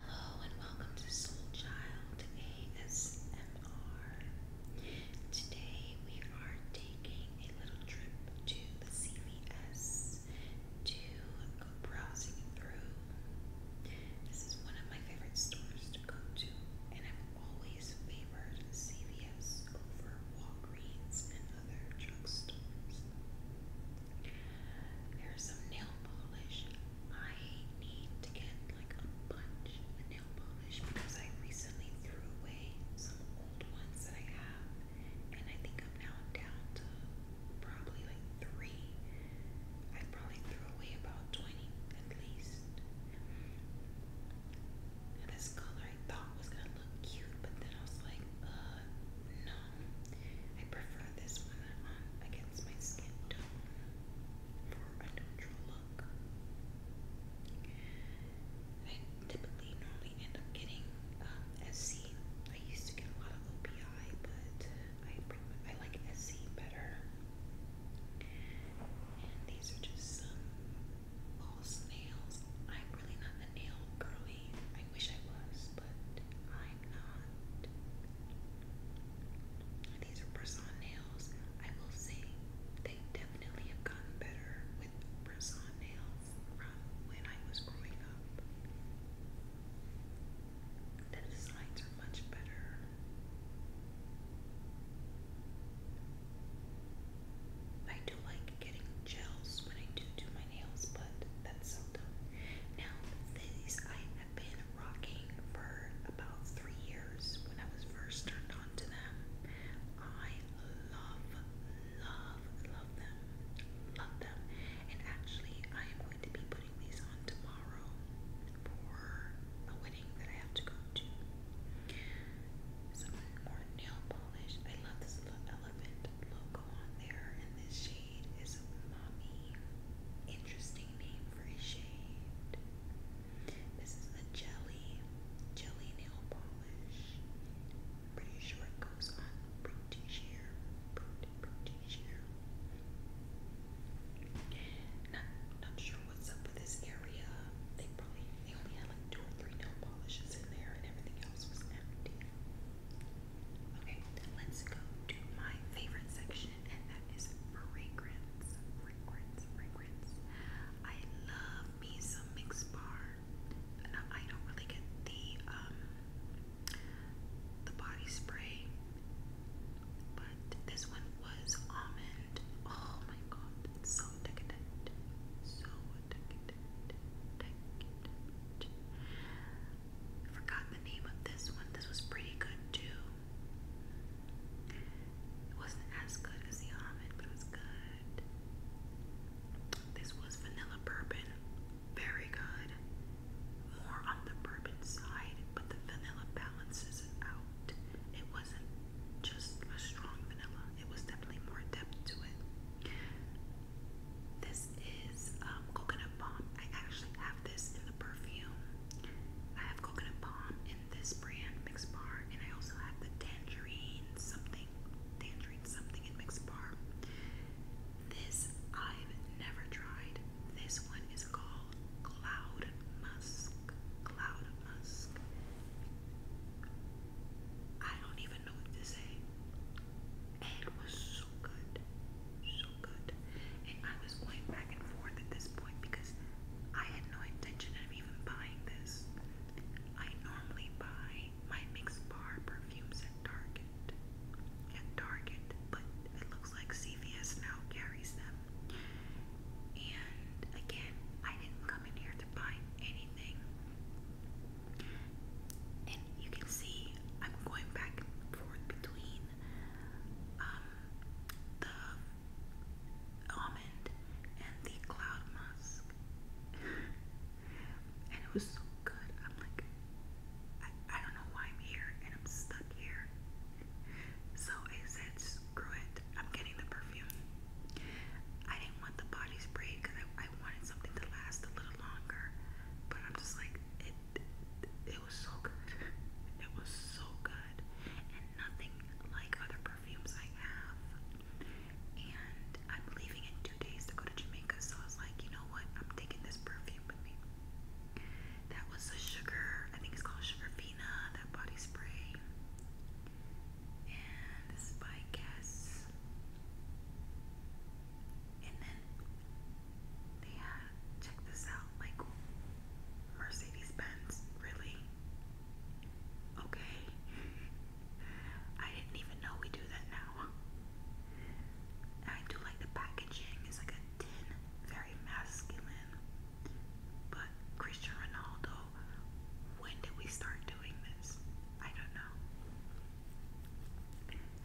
Hello and welcome to Soul ASMR. Today we are taking a little trip to the CVS to go browsing through. This is one of my favorite stores to go to, always favored CVS over Walgreens and other drugstores. Here's some nail polish. I need to get like a bunch of nail polish because I recently threw away some old ones that I have, and I think I'm now down to probably like three. I probably threw away about 20 at least this color I thought was gonna look cute, but then I was like, uh, no. I prefer this one on um, against my skin tone for a neutral look. I typically normally end up getting um, SC. I used to get a lot of OPI, but I I like SC better these are just some false nails. I'm really not a nail girly. I wish I was, but I'm not. These are press-on nails. I will say they definitely have gotten better with press-on nails from when I was growing up. The designs are much better. I do like getting gels when I do do my nails, but that's seldom. Now, these I have been rocking for about three years when I was first turned on to them. I love, love, love them. Love them. And actually, I am going to be putting these on tomorrow for a wedding that I have to go more nail polish. I love this little elephant logo on there, and this shade is Mommy. Interesting name for a shade. This is a jelly, jelly nail polish. pretty sure it goes on pretty sheer, pretty pretty sheer. Not, not sure what's up with this area. They probably they only had like two or three nail polishes in there, and everything else was empty. Okay, let's go to my favorite section, and that is fragrance, fragrance, fragrance. I love me mix bar. I don't really get the um, the body spray, but this one was almond it. Oh my god, it's so decadent. So decadent. Decadent. I forgot the name of this one. This was pretty good too. It wasn't as good as the almond, but it was good. This was vanilla bourbon. Very good. More on the bourbon side, but the vanilla balances it out. It wasn't just a strong vanilla, it was definitely more depth to it. This is um, coconut balm. I actually have this in the perfume. I have coconut bomb in this brand, Mix Bar, and I also have the tangerine something, tangerine something in Mix Bar. This I've never tried. This one is called cloud musk. Cloud musk. I don't even know what to say. It was so good. So good. And I was going back and forth at this point because I had no intention of even buying this. I normally buy my mixed bar perfumes at Target. At Target, but it looks like CVS now carries them. And again, I didn't come in here to buy anything. And you can see I'm going back and forth between um, the almond and the cloud musk. and it was so good. I'm like, I, I don't know why I'm here and I'm stuck here. So I said, screw it, I'm getting the perfume. I didn't want the body spray because I, I wanted something to last a little longer, but I'm just like, it, it, was so good. It was so good, and nothing like other perfumes I have. And I'm leaving in two days to go to Jamaica, so I was like, you know what? I'm taking this perfume with me. That was the sugar, I think it's called Sugar Fina, that body spray. And this is Guess. And then they had, check this out, like Mercedes Benz, really? Okay. I didn't even know we do that now. I do like the packaging, it's like a tin very masculine. But Christian Ronaldo, when did we start doing this? I don't know.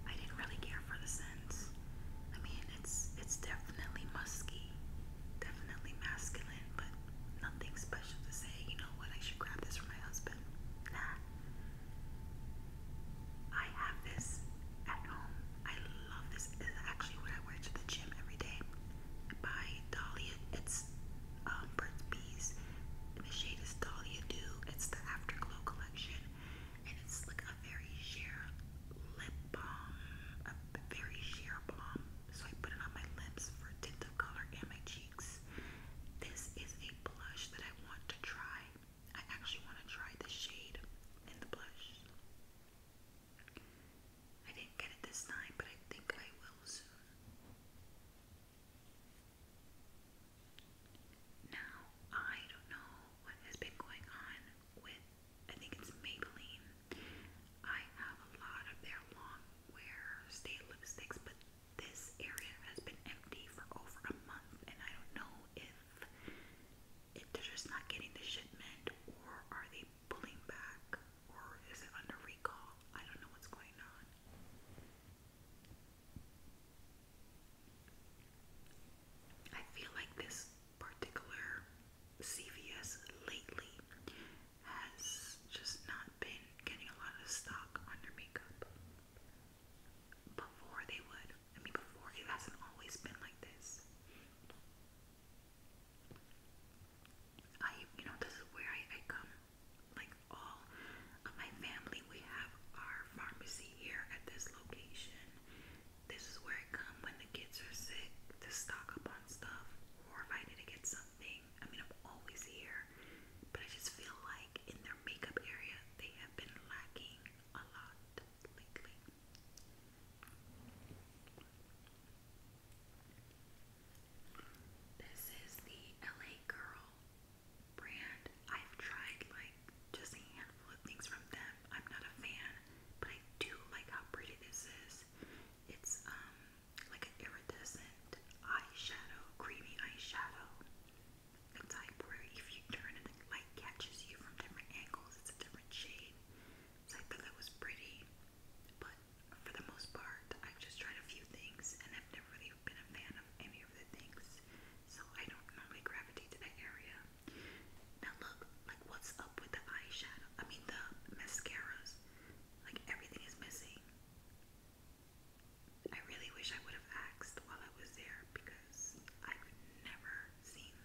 I didn't really care for the scents. I mean, it's it's definitely musky, definitely masculine, but nothing special to say. You know what? I should grab this for my husband. Nah, I have this at home. I love this. It's actually what I wear to the gym every day. By Dahlia. It's um, The shade is Dahlia Dew. It's the Afterglow collection. And it's like a very sheer lip balm. A very sheer balm. So I put it on my lips for tint of color and my cheeks. This is a blush that I want to try. I actually want to try the shade in the blush. I didn't get it this time, but I think I will soon. Now, I don't know what has been going on with, I think it's Maybelline. I have a lot of their long wear state lipsticks, but this area has been empty for over a month, and I don't know if if they're just not getting the shipment, or are they pulling back, or is it under recall? I don't know what's going on. I feel like this particular CVS lately has just not been getting a lot of stock on their makeup. Before they would. I mean, before it hasn't always been like this. I, you know, this is where I, I come. Like all of my family, we have our pharmacy here at this location. This is where I come when the kids are sick to stock up on stuff, or if I need to get something. I mean, I'm always here, but I just feel like in their makeup area, they have been lacking a lot lately. This is the LA Girl brand. I've tried like just a handful of things from them. I'm not a fan, but I do like how pretty this is. It's um like an iridescent eyeshadow, creamy eyeshadow type where if you turn and the light catches you from different angles, it's a different shade. So I thought that was pretty, but for the most part, I've just tried a few things and I've never really been a fan of any of the things, so I don't normally gravitate to that area. Now, look, like, what's up with the eyeshadow? I mean, the mascaras. Like, everything is missing. I really wish I would have asked while I was there because I've never seen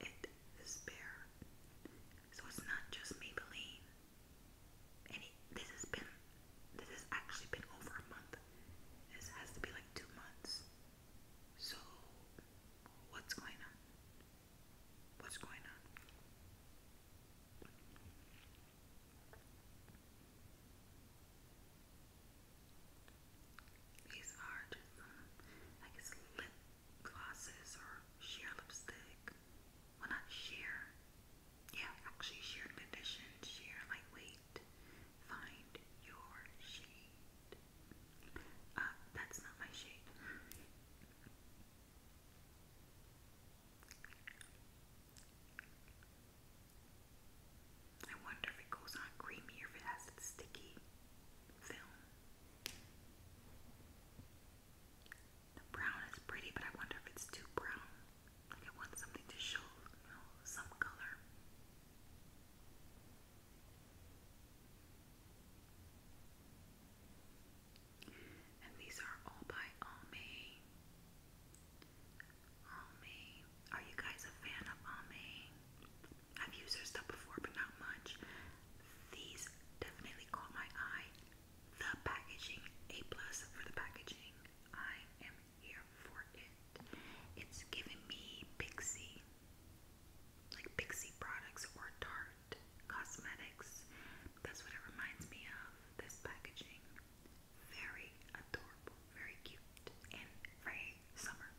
it this bare. So it's not just Maybelline. And this has been, this has actually been over a month. This has to be like two months. So, what's going on? What's going on? These are just some, I lip glosses or sheer lipstick. Well, not sheer. Yeah, actually, sheer condition, sheer lightweight. Find your shade. Uh, that's not my shade. I wonder if it goes on creamy or if it has a sticky film. The brown is pretty, but I wonder if it's too brown. Like I want something to show, you know, some color. And these are all by Almay. Almay. Are you guys a fan of Almay? I've used their stuff before, but not much. These definitely caught my eye. The packaging, A plus for the packaging. I am here for it. It's giving me Pixie, like Pixie products or Tarte cosmetics. That's what it reminds me of. This packaging very adorable, very cute, and very summer.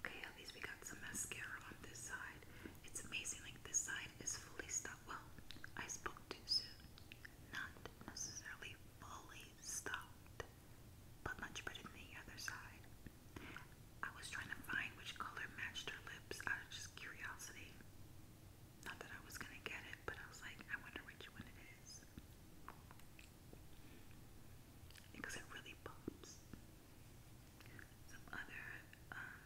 Okay, at least we got some mascara on this side. It's amazing, like this side is fully stopped. Well, I spoke too soon. Not necessarily fully stopped but much better than the other side. I was trying to find which color matched her lips out of just curiosity. Not that I was gonna get it, but I was like, I wonder which one it is. Because it really pops. Some other um,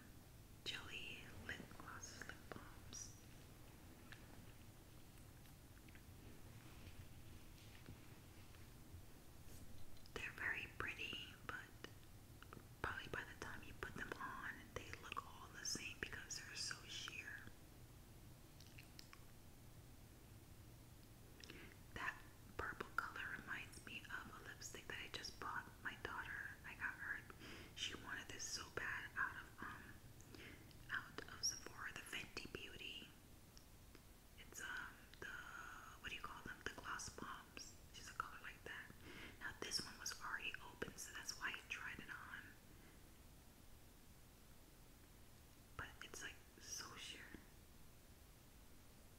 jelly lip glosses, lip balms. They're very pretty, but probably by the time you put them on, they look all the same because they're so sheer. That purple color reminds me of a lipstick that I just bought my daughter. I got her. She wanted this so bad out of um out of Sephora, the Fenty Beauty. It's um the what do you call them? The gloss bombs. She's a color like that. Now this one was already open, so that's why I tried it on. But it's like so sheer.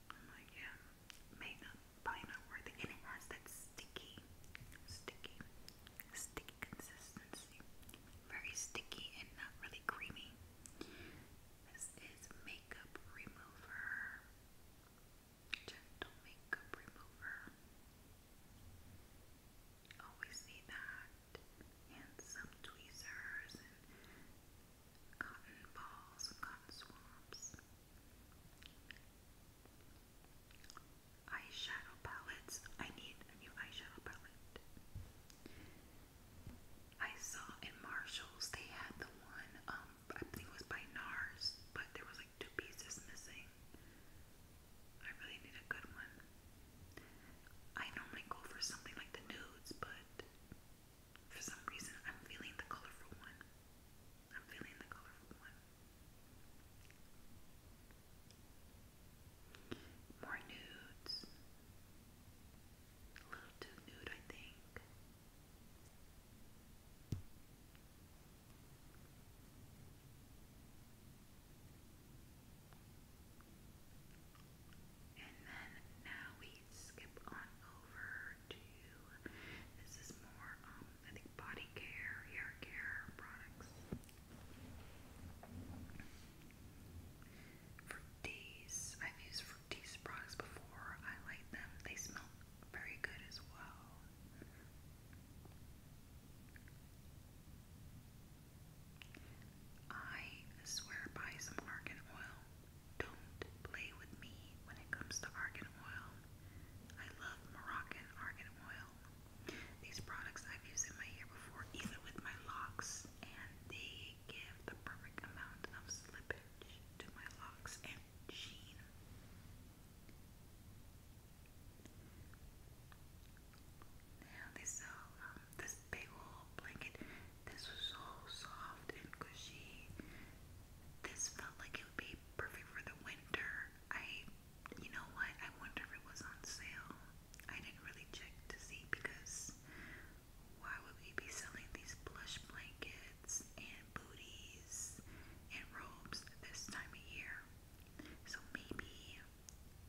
I'm like, yeah, may not probably not worth it. And it has that sticky, sticky, sticky consistency very sticky and not really creamy. This is makeup remover, gentle makeup remover. Always see that, and some tweezers and cotton balls, cotton swabs. Eyeshadow palettes. I need a new eyeshadow palette. I saw in Marshalls they had the one, um, I believe it was by NARS, but there was like two pieces missing. I really need a good one. I normally go for something like the nudes, but for some reason I'm feeling the colorful one. I'm feeling the colorful one. More nudes. A little too nude, I think. And then now we skip on over to this is more, um, I think, body care, hair care products. Fructis. I've used Fructis products before. I like them. They smell very good as well. I swear by some argan oil. Don't play with me when it comes to argan oil. I love Moroccan argan oil. These products I've used in my hair before, even with my locks, and they give the perfect amount of slippage to my locks and sheen. Now they sell um, this big old blanket. This was so soft and cushy. This felt like it would be perfect for the winter. I you know what? I wonder if it was on sale. I didn't really check to see because why would we be selling these plush blankets and booties and robes this time of year? So maybe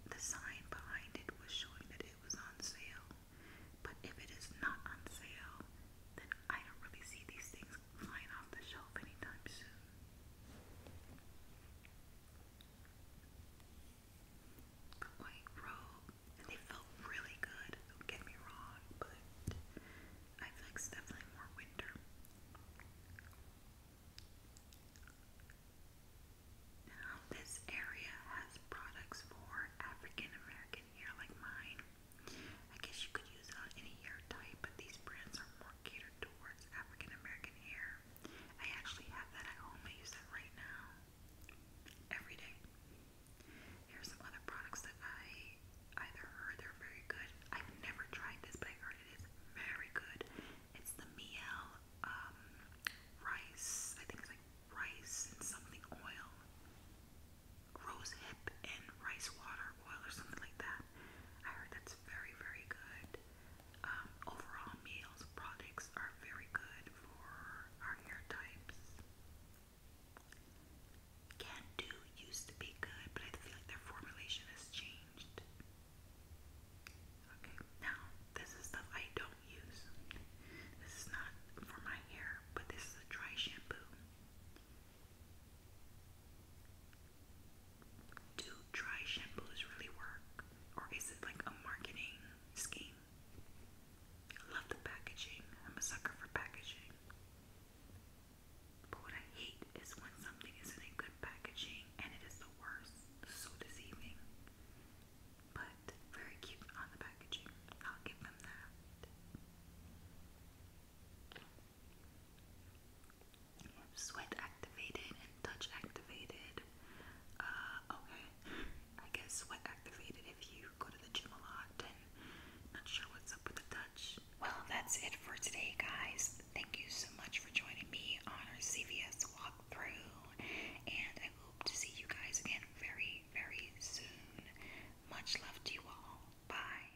the sign behind it was showing that it was on sale. But if it is not on sale, then I don't really see these things flying off the shelf anytime soon a white robe, and they felt really good. Don't get me wrong, but I feel it's definitely more winter. Now, this area has products for African American hair like mine. I guess you could use on any hair type, but these brands are more catered towards African American hair. I actually have that at home. I use that right now. Every day. Here's some other products that I either heard they're very good. I've never tried this, but I it is very good. It's the Miel um, rice. I think it's like rice and something oil. Rose hip and rice water oil or something like that. I heard that's very, very good. Um, overall, Meals products are very good for our hair types. Can Do used to be good, but I feel like their formulation has changed. Okay, now this is stuff I don't use. This is not for my hair, but this is a dry shampoo. Do dry shampoos really work? Or is it like a marketing scheme? I love the packaging. I'm a sucker for packaging. But what I hate is when something isn't in good packaging and it is the worst. So deceiving. But very cute on the packaging. I'll give them that. Sweat activated and touch activated. Uh, okay. I guess sweat activated if you go to the gym a lot not sure what's up with the touch. Well, that's it for today, guys. Thank you so much for joining me on our CVS through, and I hope to see you guys again very, very soon. Much love to you all. Bye.